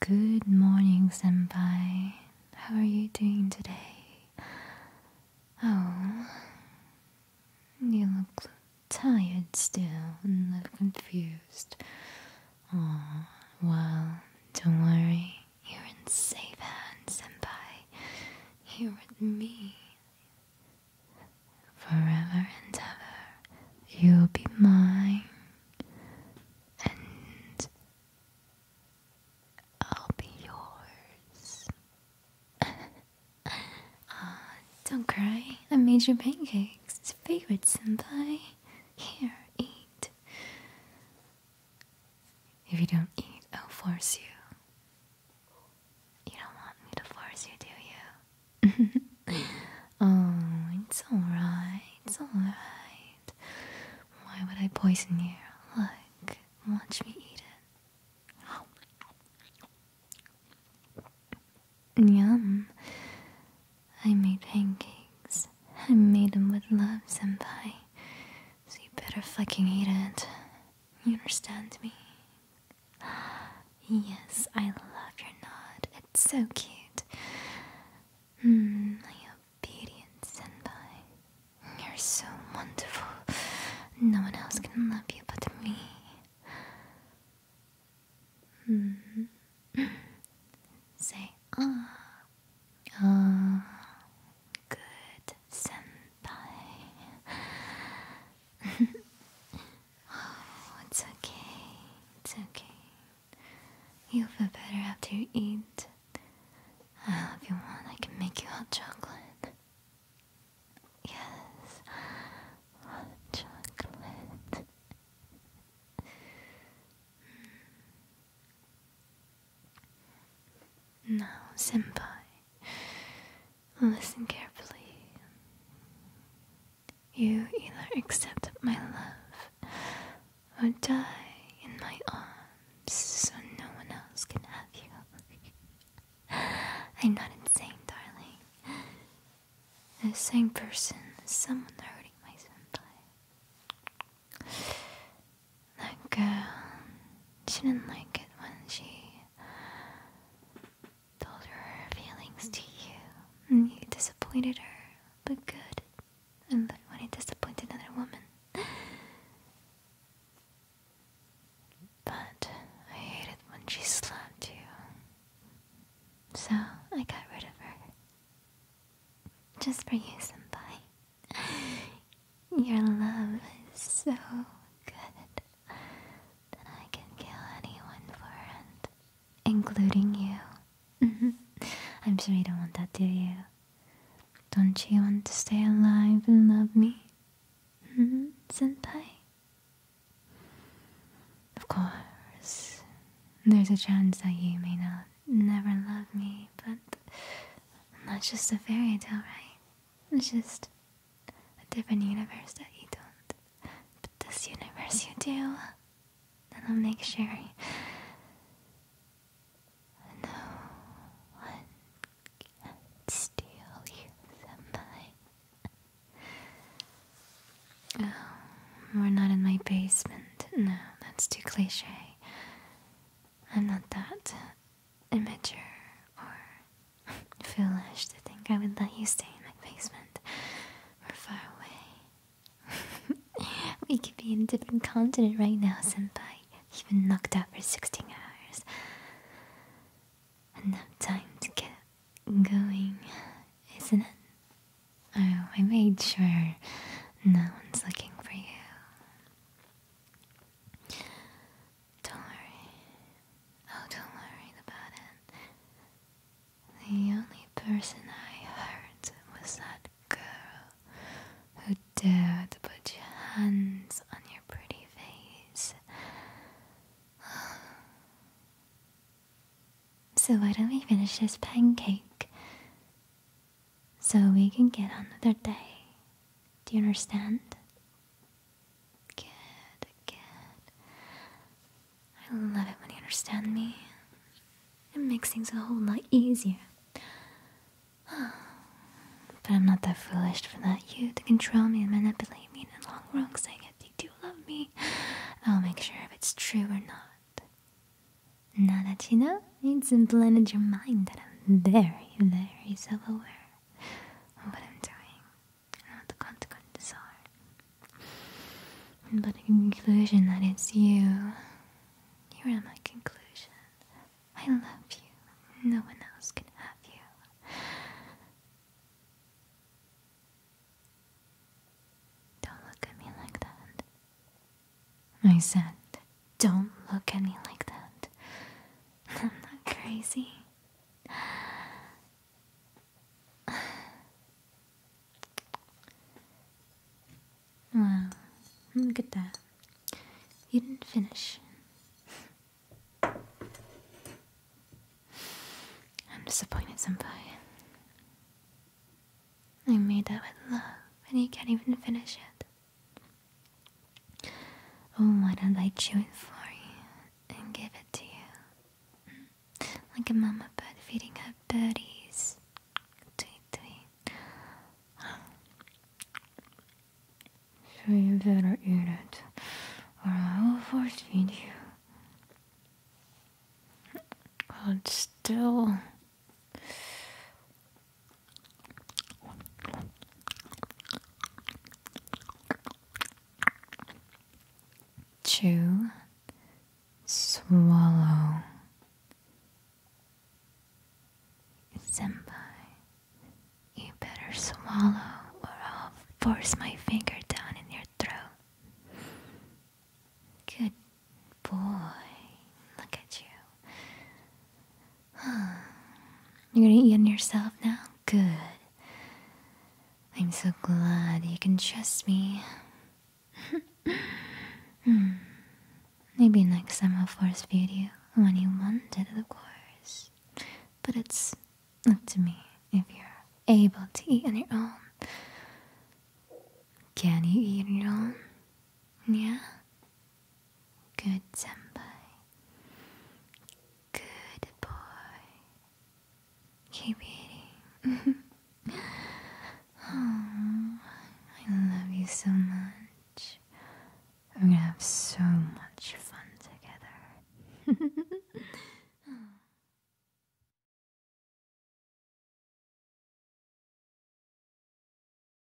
Good morning, Senpai. How are you doing today? Oh, you look tired still and a little confused. Oh, well, don't worry. You're in safe hands, Senpai. You're with me. Forever and ever, you'll be mine and I'll be yours. Uh, don't cry. I made you pancakes. It's favorite senpai. Here, eat. If you don't eat, I'll force you. You don't want me to force you, do you? oh, it's alright, it's alright. Why would I poison you? Look, watch me eat it. Yum. I made pancakes. I made them with love, senpai. So you better fucking eat it. You understand me? Yes, I love your nod. It's so cute. my mm, obedient senpai. You're so wonderful. No one else can love you but me. Mm. Say ah. Ah. Good senpai oh, it's okay. It's okay. You'll feel better after you eat. Uh, have you want, I can make you hot chocolate. Yes, hot chocolate. Hmm. Now, Senpai, listen carefully. You either accept my love or die in my arms so no one else can have you. I'm not insane, darling. The same person is someone hurting my senpai. That girl she didn't like it when she told her feelings to you, and mm. you disappointed her, but good. And but when you disappointed another woman. But I hated when she slapped you. So I got rid of her. Just for you, Senpai. Your love is so good that I can kill anyone for it, including you. Mm-hmm. I'm sure you don't want that, do you? Don't you want to stay alive and love me? Hmm, Of course, there's a chance that you may not never love me, but i not just a fairy tale, right? It's just a different universe that you don't but this universe you do, then I'll make sure. No one can steal you from mine. Um, we're not in my basement. No, that's too cliche. I'm not that immature or Foolish to think I would let you stay in my basement. we far away. we could be in a different continent right now, Senpai. You've been knocked out for 16 hours. Enough time to get going, isn't it? Oh, I made sure no one's looking for you. Don't worry. Oh, don't worry about it. The only person I hurt was that girl who dared to put your hands on your pretty face. So, why don't we finish this pancake so we can get another day? Do you understand? Good, good. I love it when you understand me. It makes things a whole lot easier. But I'm not that foolish for that you to control me and manipulate me in the long run saying if you do love me, I'll make sure if it's true or not. Now that you know, it's implanted your mind that I'm very, very self-aware what I'm doing and what the consequences are. But in conclusion, that is you. You are my conclusion. I love you. No one else can have you. Don't look at me like that. I said, don't look at me like that. I'm not crazy. Well, look at that. You didn't finish. I'm disappointed, some Senpai. I made that with love, and you can't even finish it. Oh, why don't I chew it for you and give it to you? Like a mama bird feeding her birdies. Tweet, it. So you better eat it, or I will force feed you. Hold still. Chew, swallow, senpai. You better swallow, or I'll force my finger down in your throat. Good boy, look at you. You're gonna eat on yourself now? Good. I'm so glad you can trust me. Hmm. Maybe next time I'll force feed you when you want it, of course. But it's up to me if you're able to eat on your own. Can you eat on your own? Yeah? Good senpai. Good boy. Keep eating. oh, I love you so much. We're gonna have so much fun together.